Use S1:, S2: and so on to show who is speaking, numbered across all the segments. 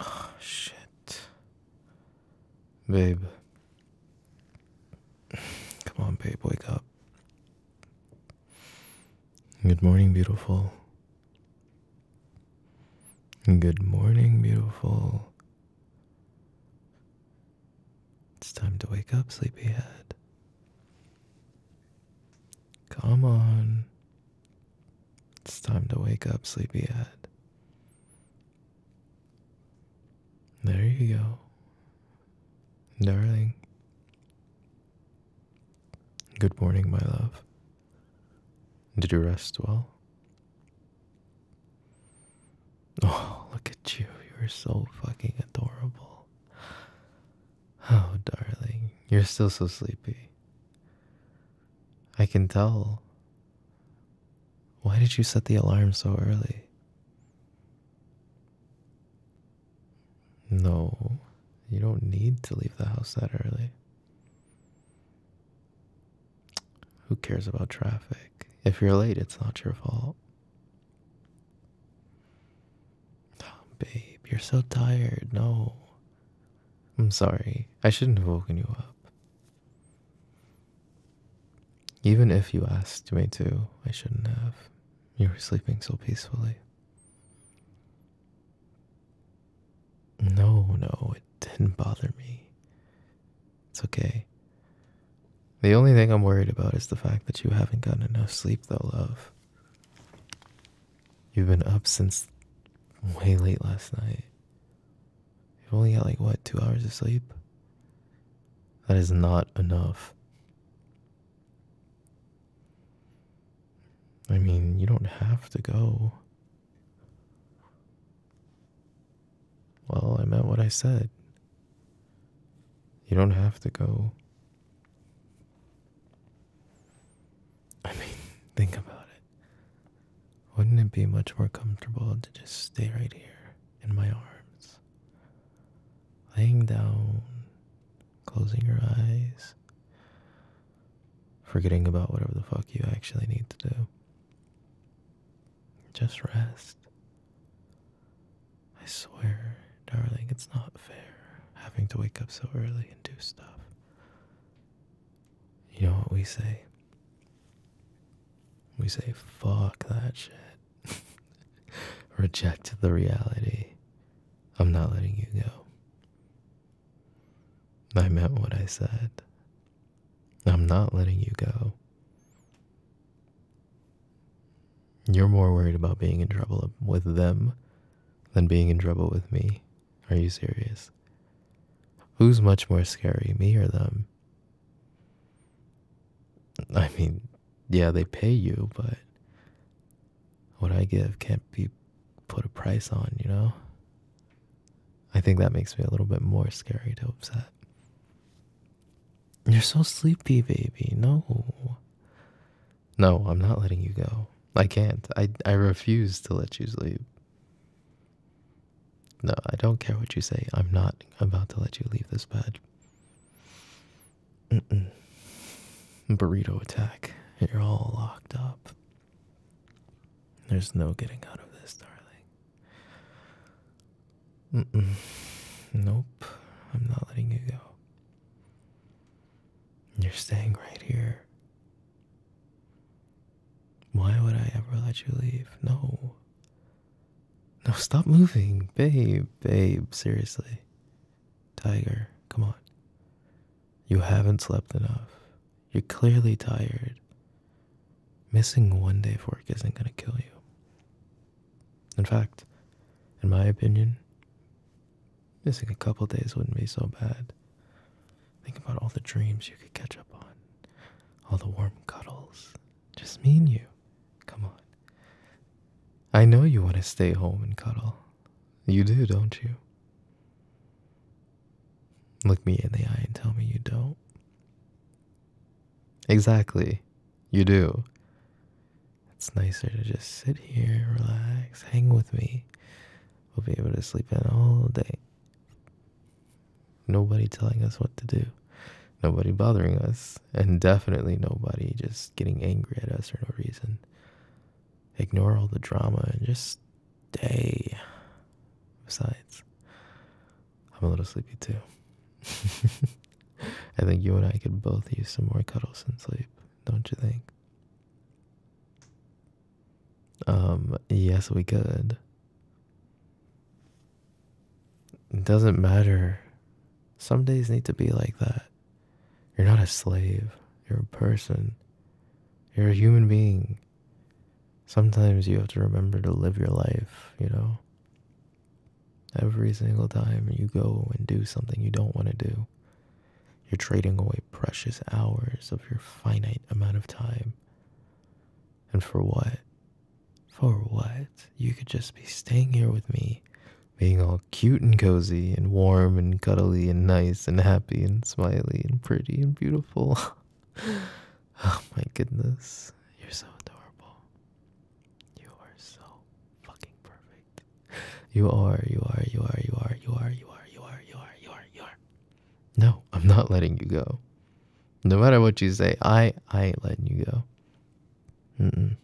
S1: Oh, shit. Babe. Come on, babe, wake up. Good morning, beautiful. Good morning, beautiful. It's time to wake up, sleepyhead. Come on. It's time to wake up, sleepyhead. There you go. Darling. Good morning, my love. Did you rest well? Oh, look at you. You're so fucking adorable. Oh, darling, you're still so sleepy. I can tell. Why did you set the alarm so early? No, you don't need to leave the house that early. Who cares about traffic? If you're late, it's not your fault. Oh, babe, you're so tired. No. I'm sorry. I shouldn't have woken you up. Even if you asked me to, I shouldn't have. You were sleeping so peacefully. No, no, it didn't bother me. It's okay. The only thing I'm worried about is the fact that you haven't gotten enough sleep, though, love. You've been up since way late last night. You've only got like what, two hours of sleep? That is not enough. I mean, you don't have to go. Well, I meant what I said. You don't have to go. I mean, think about it. Wouldn't it be much more comfortable to just stay right here in my arms? Laying down, closing your eyes, forgetting about whatever the fuck you actually need to do. Just rest. I swear, darling, it's not fair having to wake up so early and do stuff. You know what we say? We say, fuck that shit. Reject the reality. I'm not letting you go. I meant what I said. I'm not letting you go. You're more worried about being in trouble with them than being in trouble with me. Are you serious? Who's much more scary, me or them? I mean, yeah, they pay you, but what I give can't be put a price on, you know? I think that makes me a little bit more scary to upset. You're so sleepy, baby. No. No, I'm not letting you go. I can't. I, I refuse to let you sleep. No, I don't care what you say. I'm not about to let you leave this bed. Burrito attack. You're all locked up. There's no getting out of this, darling. Nope. I'm not letting you go. You're staying right here. Why would I ever let you leave? No. No, stop moving. Babe, babe, seriously. Tiger, come on. You haven't slept enough. You're clearly tired. Missing one day of work isn't going to kill you. In fact, in my opinion, missing a couple days wouldn't be so bad. Think about all the dreams you could catch up on, all the warm cuddles. Just me and you. Come on. I know you want to stay home and cuddle. You do, don't you? Look me in the eye and tell me you don't. Exactly. You do. It's nicer to just sit here, relax, hang with me. We'll be able to sleep in all day. Nobody telling us what to do, nobody bothering us, and definitely nobody just getting angry at us for no reason. Ignore all the drama and just stay. Besides, I'm a little sleepy too. I think you and I could both use some more cuddles and sleep, don't you think? Um, yes, we could. It doesn't matter. Some days need to be like that. You're not a slave, you're a person, you're a human being. Sometimes you have to remember to live your life, you know? Every single time you go and do something you don't want to do, you're trading away precious hours of your finite amount of time. And for what? For what? You could just be staying here with me, being all cute and cozy and warm and cuddly and nice and happy and smiley and pretty and beautiful. oh my goodness, you're so adorable. You are so fucking perfect. You are, you are, you are, you are, you are, you are, you are, you are, you are, you are. No, I'm not letting you go. No matter what you say, I I ain't letting you go. Mm mm.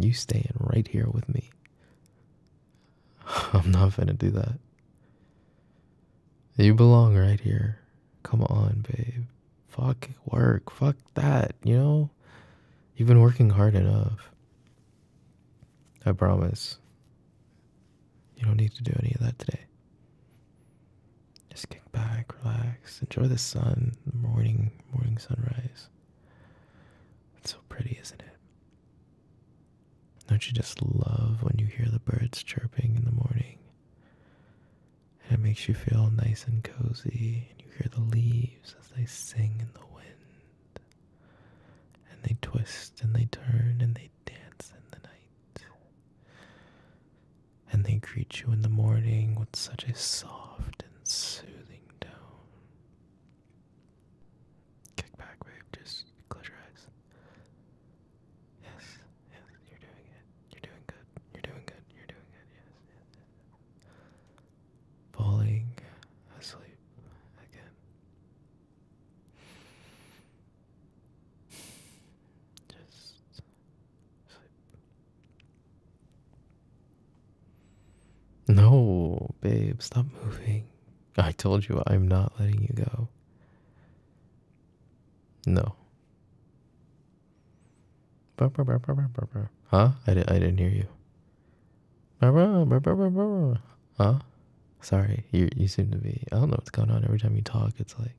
S1: You staying right here with me. I'm not gonna do that. You belong right here. Come on, babe. Fuck work. Fuck that, you know? You've been working hard enough. I promise. You don't need to do any of that today. Just kick back, relax, enjoy the sun, morning, morning sunrise. It's so pretty, isn't it? Don't you just love when you hear the birds chirping in the morning? and it makes you feel nice and cozy. And you hear the leaves as they sing in the wind, and they twist and they turn and they dance in the night. And they greet you in the morning with such a soft and soothing tone. Kick back, babe. Just close your eyes. Yes, yes, you're doing it. You're doing good. You're doing good. You're doing good. yes falling asleep again. Just sleep. No, babe, stop moving. I told you I'm not letting you go. No. Huh? I, di- I didn't hear you. Huh? Sorry, you you seem to be. I don't know what's going on. Every time you talk, it's like.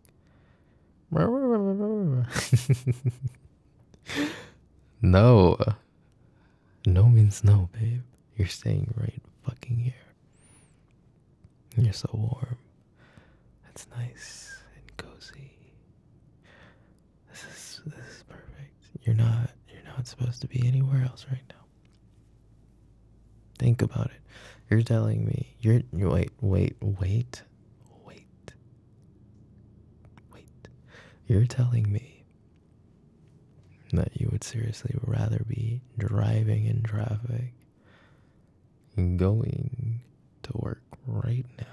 S1: no. No means no, babe. You're staying right fucking here. You're so warm. It's nice and cozy. This is this is perfect. You're not you're not supposed to be anywhere else right now. Think about it. You're telling me you're wait wait wait wait wait. You're telling me that you would seriously rather be driving in traffic going to work right now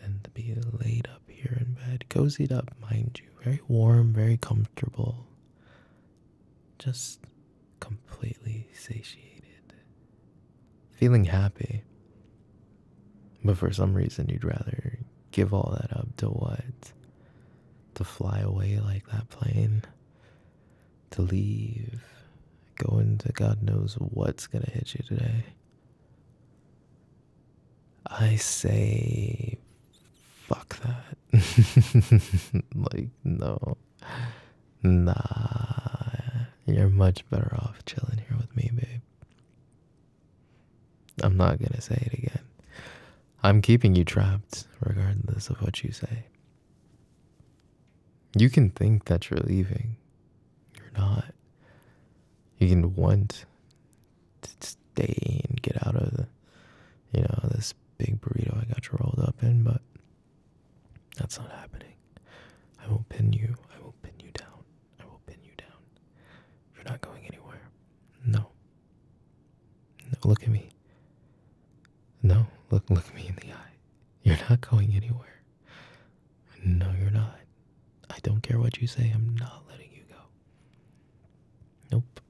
S1: than to be laid up here in bed, cozied up, mind you, very warm, very comfortable, just completely satiated, feeling happy. But for some reason, you'd rather give all that up to what? To fly away like that plane? To leave Going to God knows what's going to hit you today. I say, fuck that. like, no. Nah. You're much better off chilling here with me, babe. I'm not going to say it again. I'm keeping you trapped, regardless of what you say. You can think that you're leaving. You're not. You can want to stay and get out of the, you know, this big burrito I got you rolled up in, but that's not happening. I will pin you. I will pin you down. I will pin you down. You're not going anywhere. No. No, look at me. No, look look me in the eye. You're not going anywhere. No, you're not. I don't care what you say. I'm not letting you go. Nope.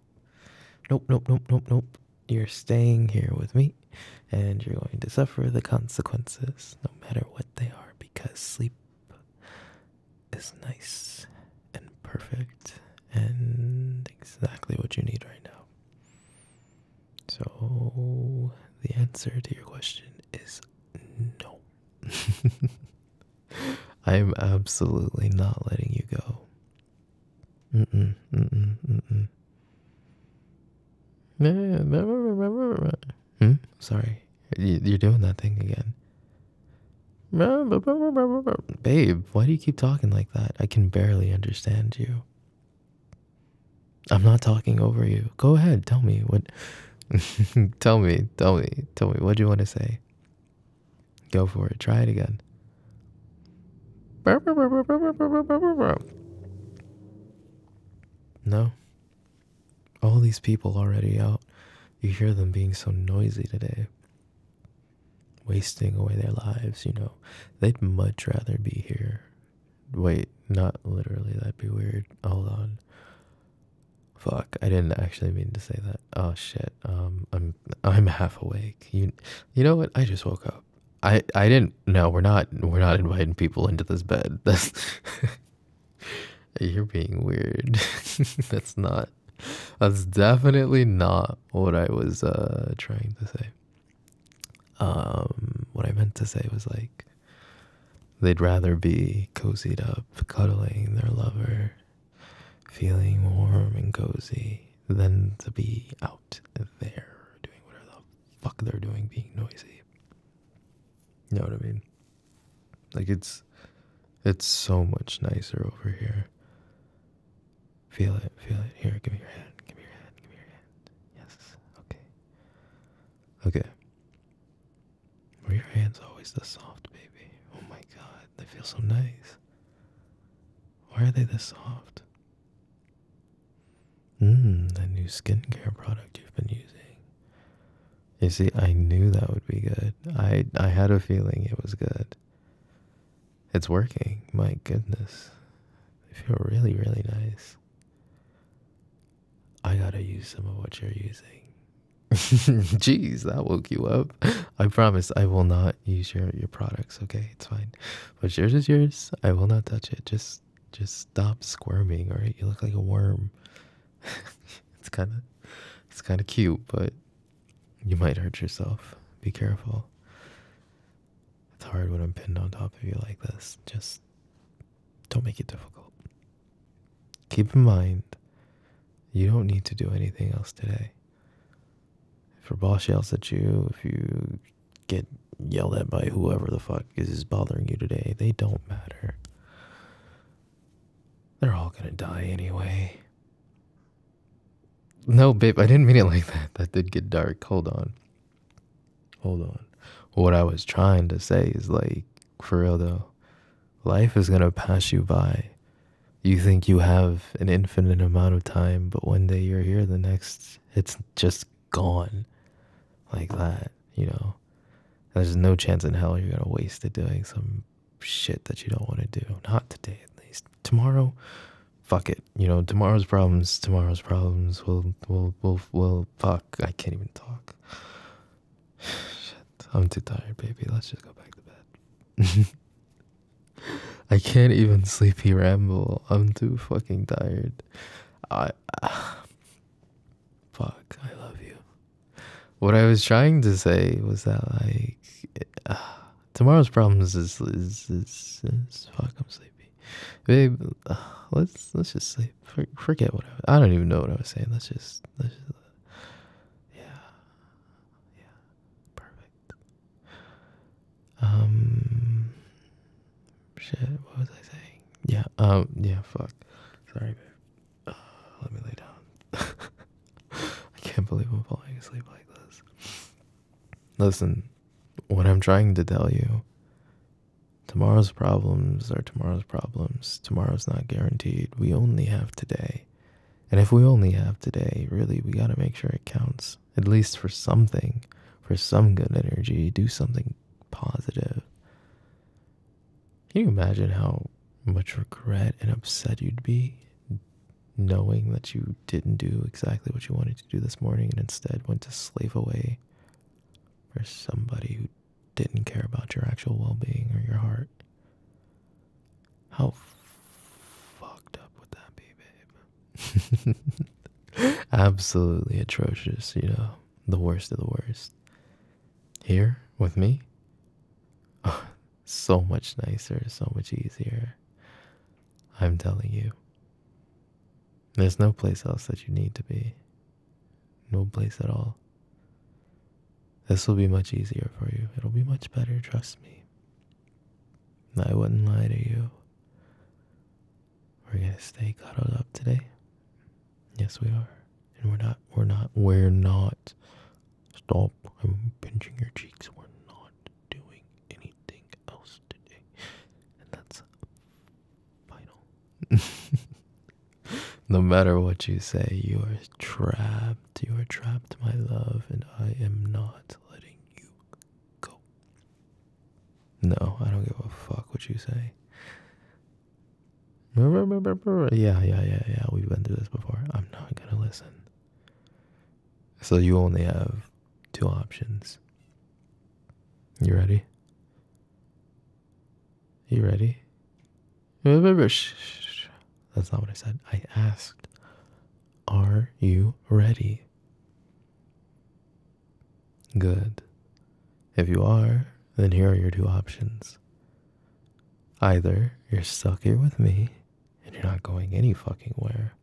S1: Nope, nope, nope, nope, nope. You're staying here with me, and you're going to suffer the consequences, no matter what they are, because sleep is nice and perfect and exactly what you need right now. So the answer to your question is no. I am absolutely not letting you go. Mm-mm, mm-mm, mm-mm. Hmm? Sorry, you're doing that thing again. Babe, why do you keep talking like that? I can barely understand you. I'm not talking over you. Go ahead, tell me what tell me, tell me, tell me what do you want to say? Go for it. Try it again. No. All these people already out. You hear them being so noisy today. Wasting away their lives, you know. They'd much rather be here Wait, not literally. That'd be weird. Hold on. Fuck, I didn't actually mean to say that. Oh shit. Um, I'm I'm half awake. You, you know what? I just woke up. I I didn't. No, we're not. We're not inviting people into this bed. You're being weird. that's not. That's definitely not what I was uh trying to say. Um, what I meant to say was like, They'd rather be cozied up, cuddling their lover, feeling warm and cozy, than to be out there doing whatever the fuck they're doing, being noisy. You know what I mean? Like it's it's so much nicer over here. Feel it, feel it. Here, give me your hand, give me your hand, give me your hand. Yes, okay. Okay. Were your hands always this soft, baby? Oh my god, they feel so nice. Why are they this soft? Mmm, that new skincare product you've been using. You see, I knew that would be good. I I had a feeling it was good. It's working. My goodness. They feel really, really nice. I gotta use some of what you're using. Jeez, that woke you up. I promise I will not use your your products, okay? It's fine. But yours is yours. I will not touch it. Just just stop squirming, alright? You look like a worm. it's kinda it's kinda cute, but you might hurt yourself. Be careful. It's hard when I'm pinned on top of you like this. Just don't make it difficult. Keep in mind, you don't need to do anything else today. If your boss yells at you, if you get yelled at by whoever the fuck is bothering you today, they don't matter. They're all gonna die anyway. No, babe, I didn't mean it like that. That did get dark. Hold on. Hold on. What I was trying to say is like, for real though, life is gonna pass you by. You think you have an infinite amount of time, but one day you're here, the next, it's just gone like that, you know? There's no chance in hell you're gonna waste it doing some shit that you don't wanna do. Not today, at least. Tomorrow, fuck it you know, tomorrow's problems, tomorrow's problems will will will will fuck. I can't even talk. Shit, I'm too tired, baby. Let's just go back to bed. I can't even sleepy ramble. I'm too fucking tired. I fuck. I love you. What I was trying to say was that like tomorrow's problems is is, is fuck. I'm sleepy babe. Uh, let's let's just Forget what I, don't even know what I was saying. Let's just let's just yeah yeah perfect. Um shit. What was I saying? Yeah um yeah fuck. Sorry babe. Uh, let me lay down. I can't believe I'm falling asleep like this. Listen, what I'm trying to tell you Tomorrow's problems are tomorrow's problems. Tomorrow's not guaranteed. We only have today. And if we only have today, really, we got to make sure it counts, at least for something, for some good energy. Do something positive. Can you imagine how much regret and upset you'd be knowing that you didn't do exactly what you wanted to do this morning and instead went to slave away for somebody who didn't care about your actual well being or your heart. How fucked up would that be, babe? Absolutely atrocious, you know, the worst of the worst. Here with me? so much nicer, so much easier. I'm telling you. There's no place else that you need to be. No place at all. This will be much easier for you. It'll be much better, trust me. I wouldn't lie to you. We're gonna stay cuddled up today. Yes, we are. And we're not, we're not, we're not. Stop. I'm pinching your cheeks. We're not doing anything else today. And that's no matter what you say, you are trapped. You are trapped, my love, and I am not letting you go. No, I don't give a fuck what you say. Yeah, yeah, yeah, yeah. We've been through this before. I'm not gonna listen. So you only have two options. You ready? You ready? That's not what I said. I asked, Are you ready? Good. If you are, then here are your two options. Either you're stuck here with me and you're not going any fucking where,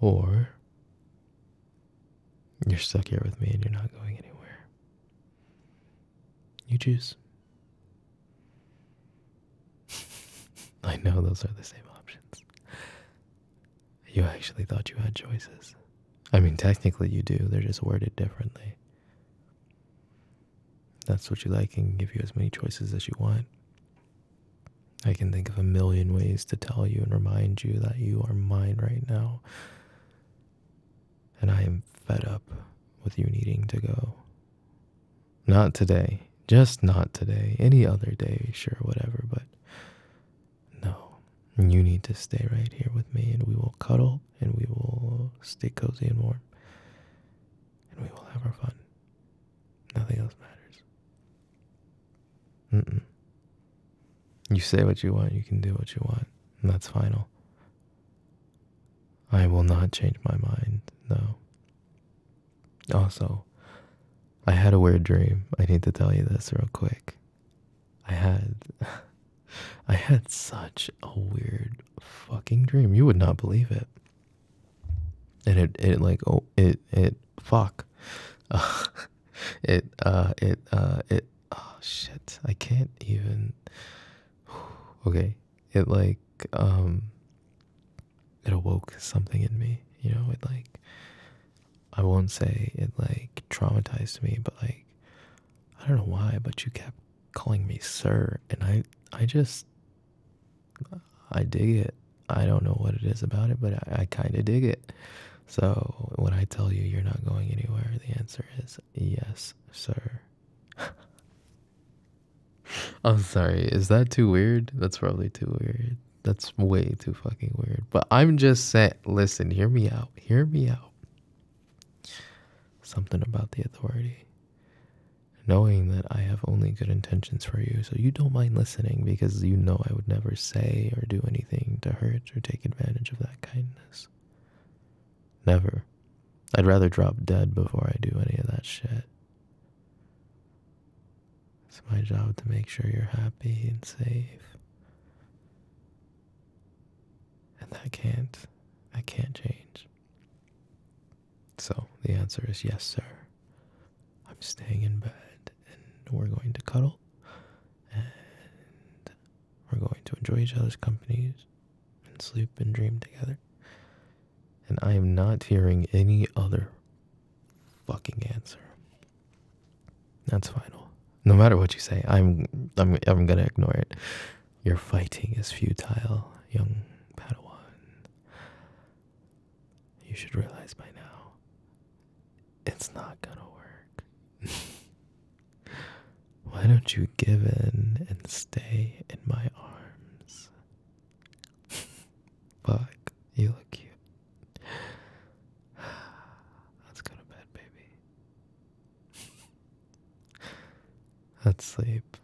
S1: or you're stuck here with me and you're not going anywhere. You choose. I know those are the same options. You actually thought you had choices. I mean, technically you do, they're just worded differently. That's what you like and give you as many choices as you want. I can think of a million ways to tell you and remind you that you are mine right now. And I am fed up with you needing to go. Not today. Just not today. Any other day, sure, whatever, but no. You need to stay right here with me and we will cuddle and we will stay cozy and warm and we will have our fun. Nothing else matters. Mm-mm. You say what you want, you can do what you want, and that's final. I will not change my mind, no. Also, I had a weird dream. I need to tell you this real quick. I had I had such a weird fucking dream. You would not believe it. And it it like oh it it fuck. it uh it uh it oh shit i can't even okay it like um it awoke something in me you know it like i won't say it like traumatized me but like i don't know why but you kept calling me sir and i i just i dig it I don't know what it is about it, but I, kind of dig it. So when I tell you you're not going anywhere, the answer is yes, sir. I'm sorry, is that too weird? That's probably too weird. That's way too fucking weird. But I'm just saying, listen, hear me out. Hear me out. Something about the authority. Knowing that I have only good intentions for you, so you don't mind listening because you know I would never say or do anything to hurt or take advantage of that kindness. Never. I'd rather drop dead before I do any of that shit. It's my job to make sure you're happy and safe. And I can't, I can't change. So the answer is yes, sir. I'm staying in bed and we're going to cuddle and we're going to enjoy each other's companies and sleep and dream together. And I am not hearing any other fucking answer. That's final. No matter what you say, I'm I'm I'm gonna ignore it. Your fighting is futile, young Padawan you should realize by now it's not gonna work. Why don't you give in and stay in my arms? Fuck, you look cute. Let's go to bed, baby. Let's sleep.